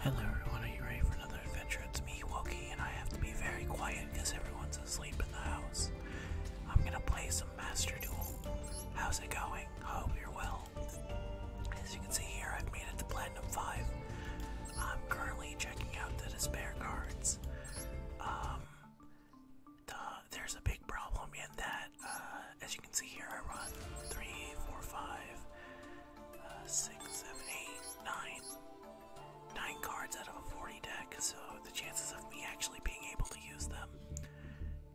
Hello everyone, are you ready for another adventure? It's me, Wookie, and I have to be very quiet because everyone's asleep in the house. I'm gonna play some Master Duel. How's it going? hope you're well. As you can see here, I've made it to Platinum 5. I'm currently checking out the Despair cards. Um, there's a big problem in that, uh, as you can see here, I run 3, 4, 5, uh, six, seven, eight, nine, nine cards out of a 40 deck, so the chances of me actually being able to use them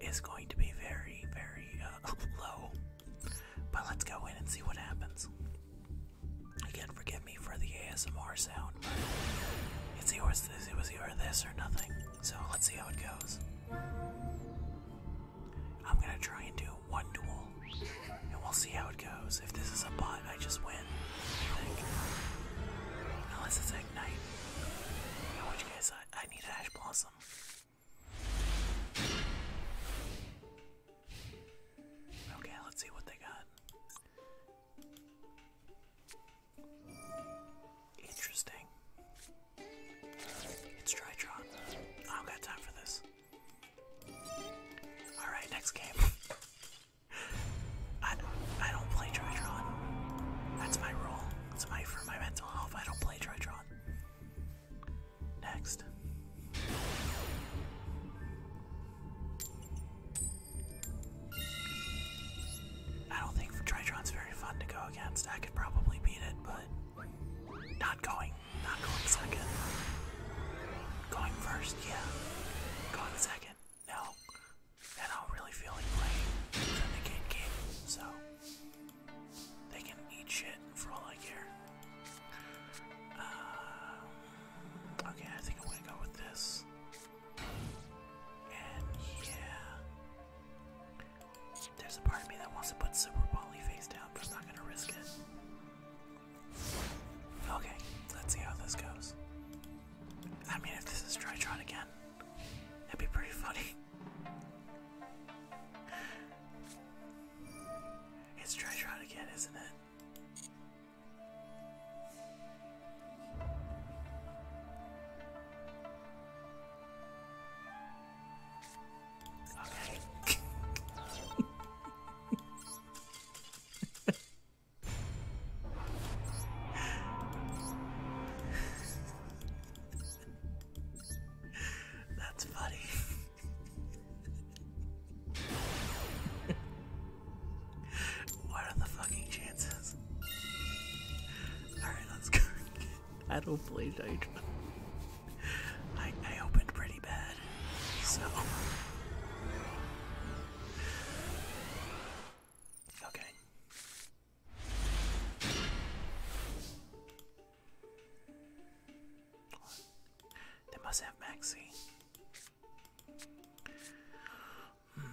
is going to be very, very uh, low. But let's go in and see what happens. Again, forgive me for the ASMR sound, but it's either, it's either this or nothing. So let's see how it goes. I'm gonna try and do one duel, and we'll see how it goes. If this is a bot, I just win. Unless it's Ignite. In which case, I, need Ash Blossom. Okay, let's see what they got. Interesting. It's Drytron. I do got time for this. Alright, next game. I, I don't play Tritron. That's my rule. It's for my mental health. I don't play Tritron. Next. I don't think Tritron's very fun to go against. I could probably beat it, but not going not going second. Going first, yeah. Going second, no. And I do really feel like playing the negate so they can eat shit for all I care. Uh, okay, I think I'm gonna go with this. And yeah. There's a part of me that wants to put Super Wally face down, but I'm not gonna risk it. Okay, let's see how this goes. I mean, if this is Tritron again, that'd be pretty funny. it's Tritron again, isn't it? That's funny. what are the fucking chances? Alright, let's go. I don't play night. I, I opened pretty bad, so. Okay. They must have Maxie. Hmm.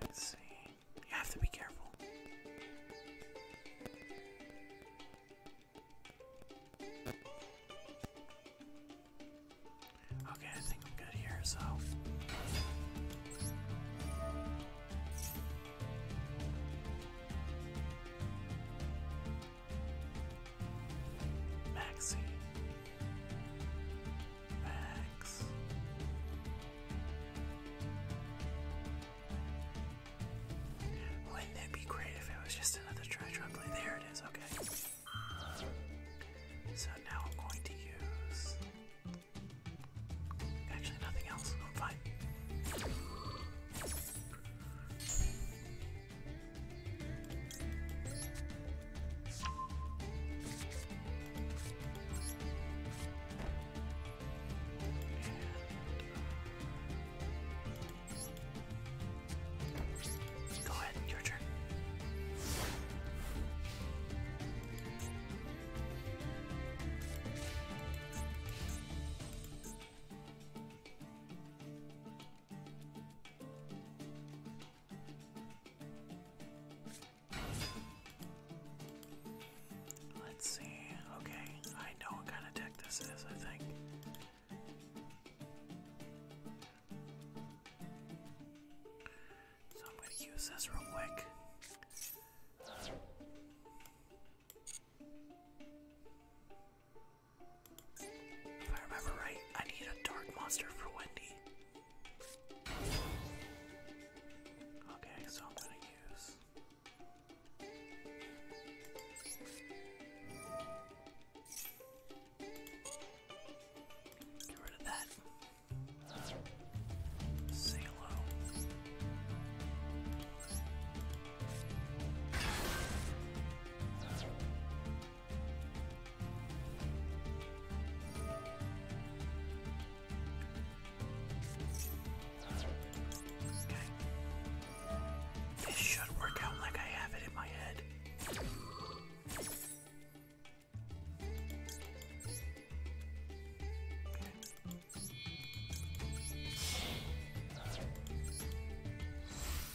Let's see. You have to be careful. Okay, I think I'm good here, so. Maxie. Max. Wouldn't it be great if it was just another try There it is, okay. So now I'm going to use actually nothing else. I'm fine. Go ahead, your turn. Let's see. Okay, I know what kind of deck this is, I think. So I'm going to use this real quick. If I remember right, I need a dark monster for Wendy. Okay, so I'm gonna use. Get rid of that. Say hello. This should work out like I have it in my head.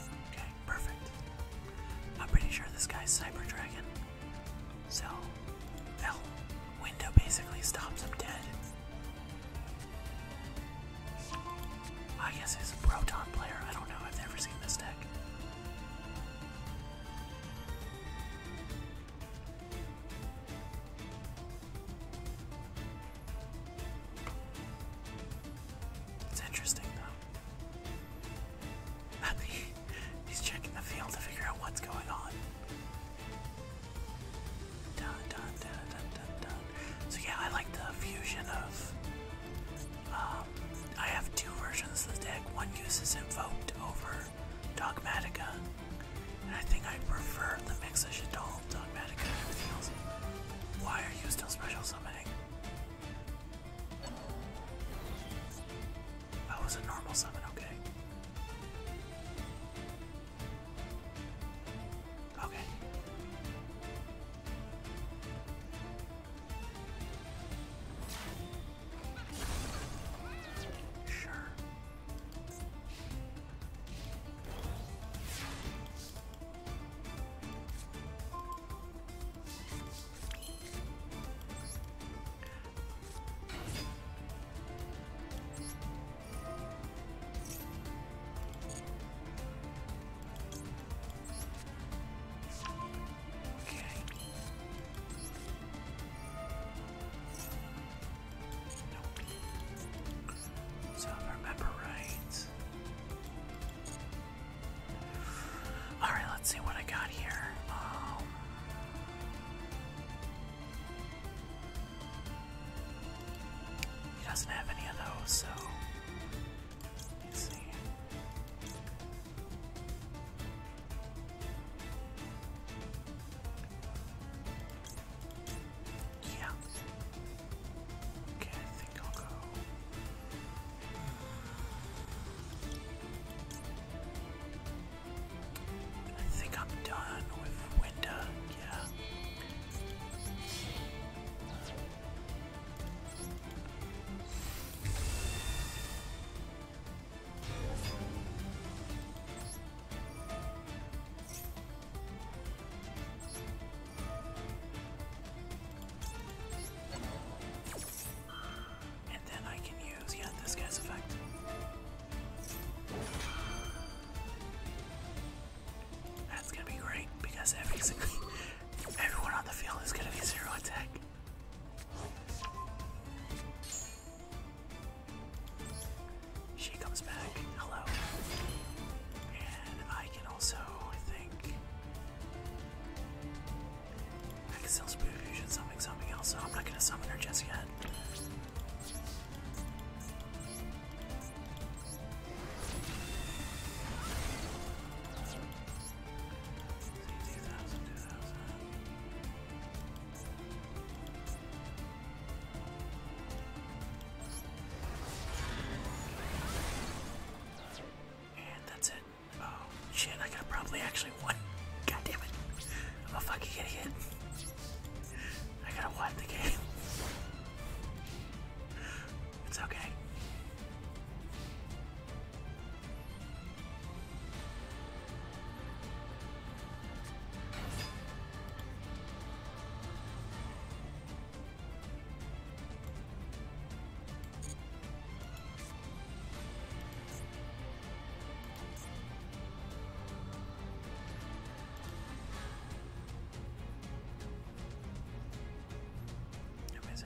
Okay, perfect. I'm pretty sure this guy's Cyber Dragon. So, that window basically stops him dead. I guess he's a Proton player. I don't know. I've never seen this deck. It's interesting though. He's checking the field to figure out what's going on. Dun, dun, dun, dun, dun, dun. So yeah, I like the fusion of. Um, I have two versions of the deck. One uses Invoked over Dogmatica, I think I prefer the mix of Shadol, Dogmatic, and everything else. Why are you still special summoning? That was a normal summon, okay. Okay. Sure. Okay. So remember right. Alright, let's see what I got here. Um, he doesn't have any of those, so let's see. Yeah. Okay, I think I'll go. I think I'm done with Winda, yeah. And then I can use, yeah, this guy's effect. That's gonna be great because everyone on the field is gonna be zero attack. She comes back. Hello. And I can also, think, I can still Spirit Fusion something, something else. So I'm not gonna summon her just yet. And that's it. Oh, shit, I could have probably actually won. God I'm a fucking idiot. I gotta win the game. It's okay.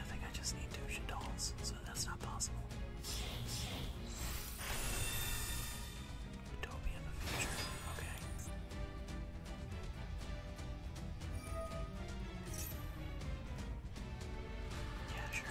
I think I just need two Shadols, so that's not possible. Utopia in the future. Okay. Yeah, sure.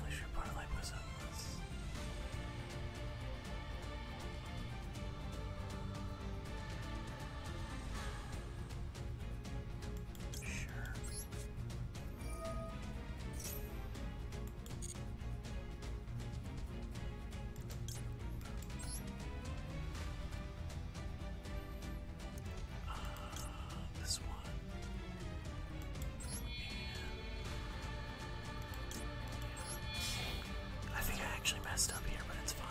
I should parlay myself. Sure. Uh, this one. I think I actually messed up here, but it's fine.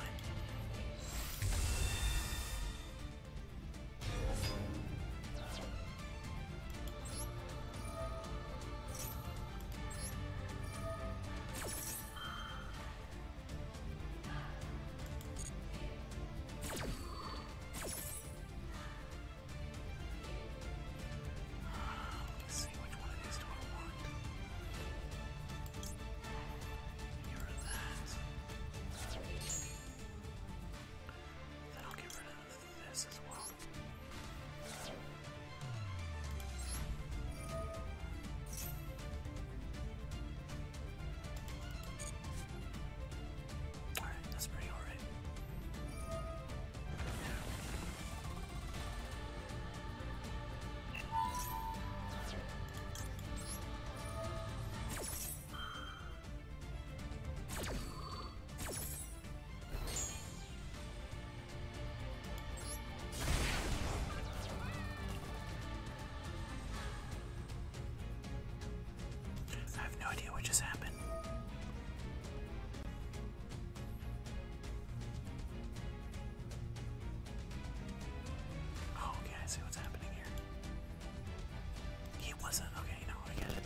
Let's see which one of these do I want. Get rid of that. Then I'll get rid of this as well. Alright, that's pretty alright. I have no idea what just happened. Oh, okay, I see what's happening here. He wasn't. Okay, no, I get it.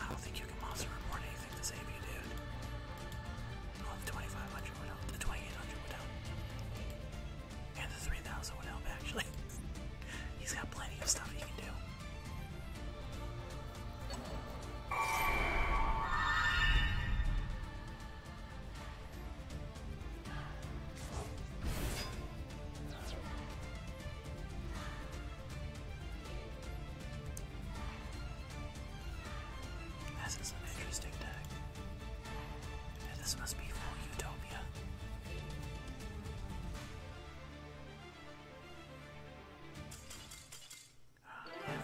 I don't think you can monster report anything to save you, dude. Oh, the 2500 would help. The 2800 would help. And the 3000 would help, actually. He's got plenty of stuff he can do. This is an interesting deck. this must be full Utopia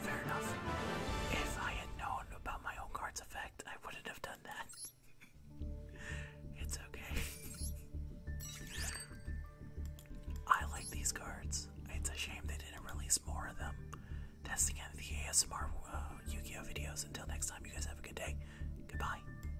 fair enough. If I had known about my own card's effect, I wouldn't have done that. it's okay. I like these cards. It's a shame they didn't release more of them. That's the end of the ASMR uh, Yu Gi Oh videos. Until next time, you guys have a good day. Goodbye.